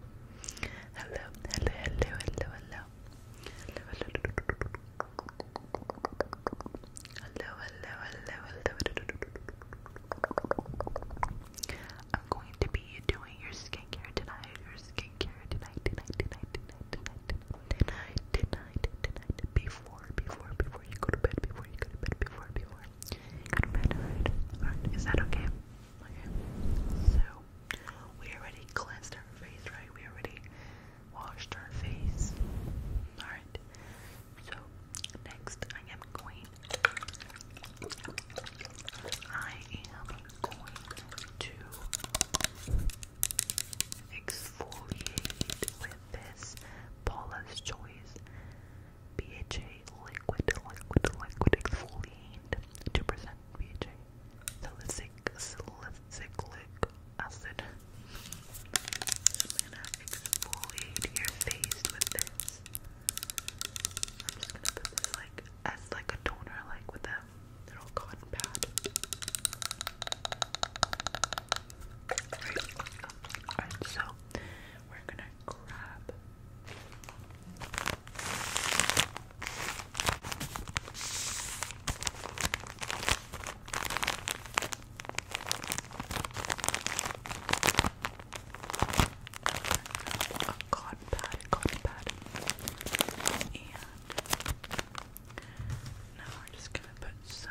Hello, hello, hello, hello, hello. Hello, hello, hello, hello, hello, hello. I'm going to be doing your skincare tonight, your skincare tonight, tonight, tonight, tonight, tonight, tonight, tonight, tonight, before, before, before you go to bed, before you go to bed, before, before you go to bed, alright? Alright, is that okay? Okay, so we already cleansed our face, right? We already washed our face. Alright, so next I am going. I am going to exfoliate with this Paula's Choice BHA liquid, liquid, liquid exfoliant, 2% BHA, salicylic, salicylic acid. I'm gonna exfoliate your face with this. I'm just gonna put this like as like a toner, like with a little cotton pad. Alright, so we're gonna crab. A cotton pad, cotton pad. And now we're just gonna put some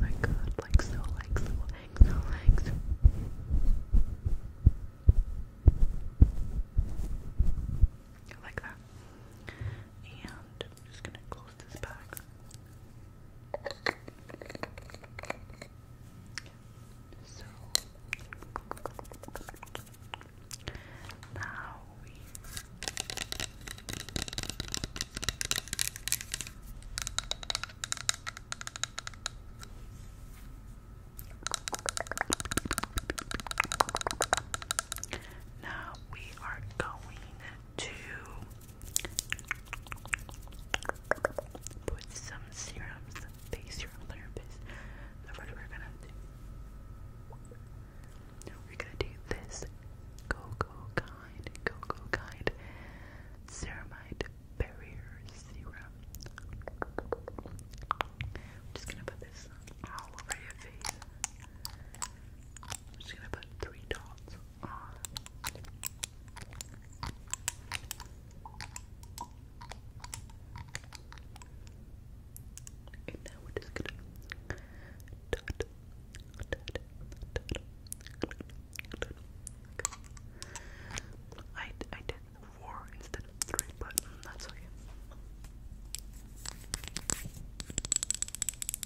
My god, like so, like so, like so, like that. And I'm just gonna close close this So now we now we are going to put some serums, face serum therapist. So first we're gonna do we're gonna do this cocoa kind, cocoa kind ceramide barrier serum. I'm just gonna put this all over your face. I'm just gonna put three dots And now we're just gonna I, I did four instead of three, but that's okay.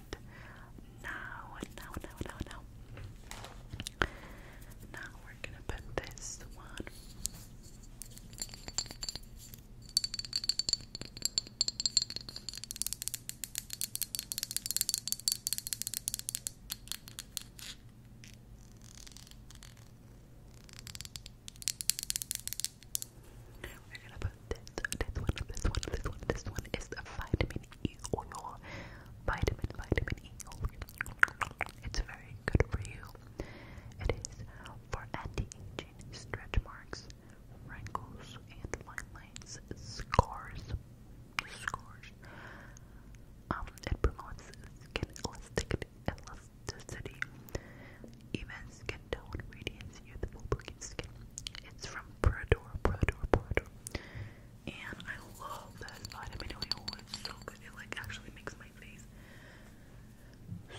that now, now, now, now, now. Now we're gonna put this one. We're gonna put this, this one, this one, this one, this one is the vitamin E oil, vitamin, vitamin E oil. It's very good for you. It is for anti-aging, stretch marks, wrinkles, and fine lines, scars, scars. Um, it promotes skin elasticity, even skin tone, radiance, it's from Prada. Prada. Prada. And I love that vitamin oil. It's so good. It like actually makes my face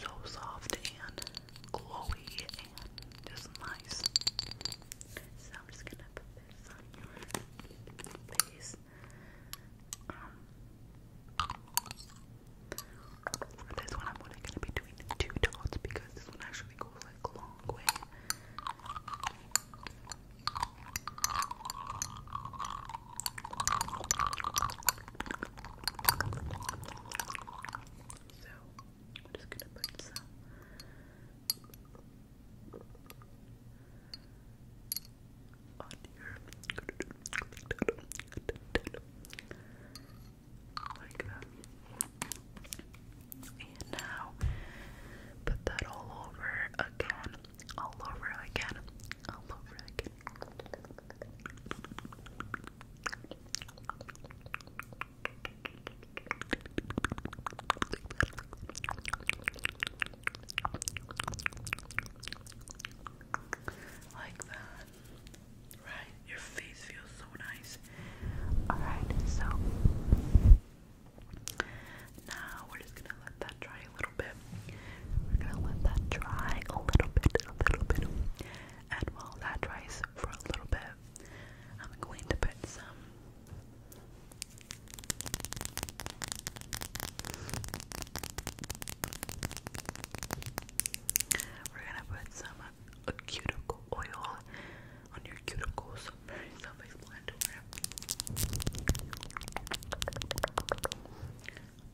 so soft and glowy and just nice. So I'm just gonna put this on your face. Um, for this one, I'm only gonna be doing two dots because this one actually goes like a long way. So I'm just gonna put some on here like that. And now put that all over again, all over again, all over again. Like that. Right? Your face feels so nice. Alright, so now we're just gonna let that dry a little bit. We're gonna let that dry a little bit, a little bit. And while that dries for a little bit, I'm going to put some we're gonna put some a cuticle oil on your cuticles.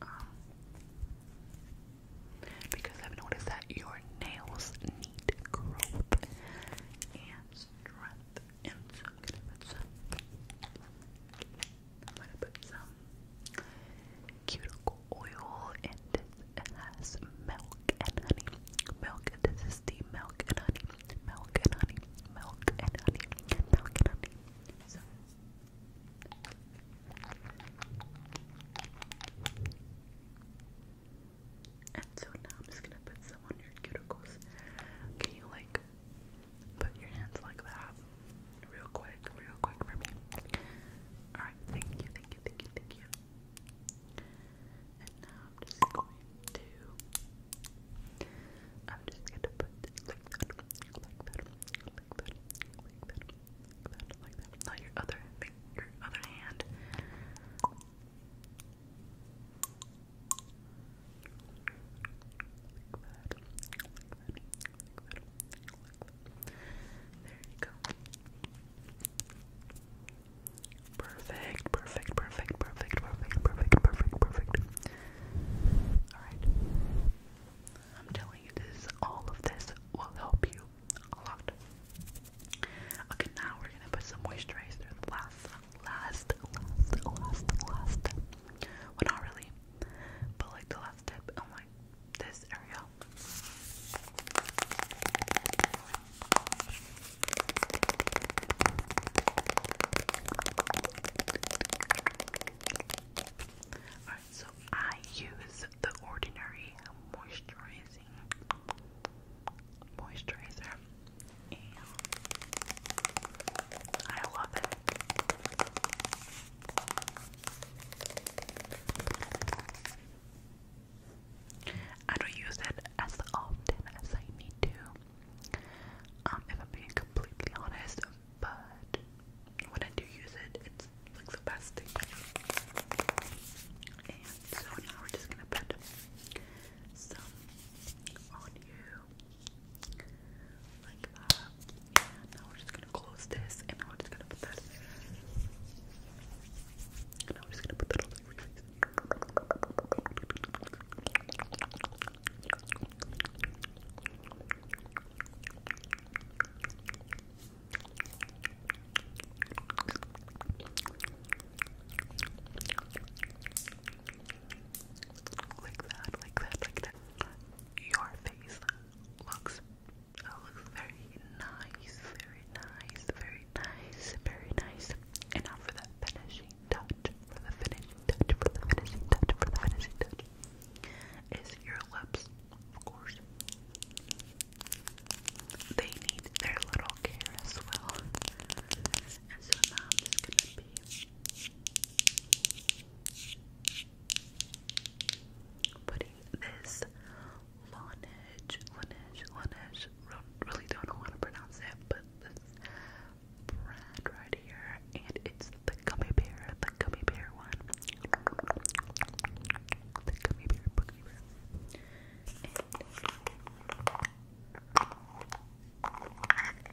Um, because I've noticed that your nails need growth and strength, and so I'm gonna put some. I'm gonna put some cuticle oil and it has milk and honey. Milk, this is the milk and honey. Milk and honey. Milk and honey. Milk and honey. So and so now I'm just gonna put some on your cuticles. Can you like put your hands like that? real quick, real quick for me. Alright, thank you, thank you, thank you, thank you. And now I'm just going to I'm just gonna put this like that, like that, like that, like that, like that, like that. Now your other your other hand. There you go. Perfect, perfect, perfect, perfect, perfect, perfect, perfect, perfect. Alright. I'm telling you this, all of this will help you a lot. Okay, now we're gonna put some moisturizer. Last, last, last, last, last. Well, not really, but like the last tip. I'm oh this area. Alright, so I use the Ordinary Moisturizing Moisturizer, and I love it. I don't use it as often as I need to, um, I'm being completely honest, but when I do use it, it's like the best thing. And so now we're just gonna put some on you. Like that. now we're just gonna close this and we're just gonna put that and now we're just gonna put that on your face. Like that, like that, like that your face uh, looks very nice, very nice, very nice, very nice. And for the finishing touch, for the finishing touch, for the finishing touch, for the finishing touch, is your lips, of course. They need their little care as well. And so now i gonna be Putting this Laneige, Laneige, Laneige, really don't know how to pronounce it, but this brand right here, and it's the gummy bear, the gummy bear one. The gummy bear, gummy bear.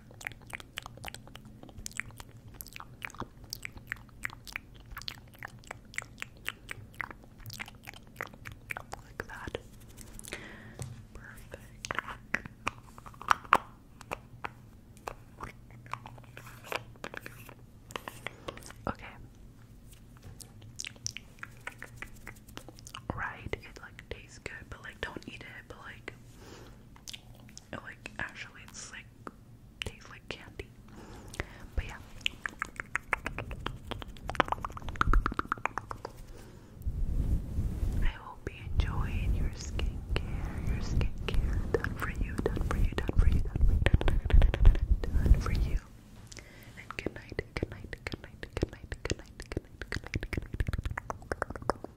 Like that. Perfect. Okay. Right, it like tastes good, but like don't eat it, but like it like actually it's like tastes like candy. But yeah. I hope you enjoyed your skincare. Your skincare done for you, done for you, done for you, done for you. And good night, good night, good night, good night, good night, good night, good night, good night.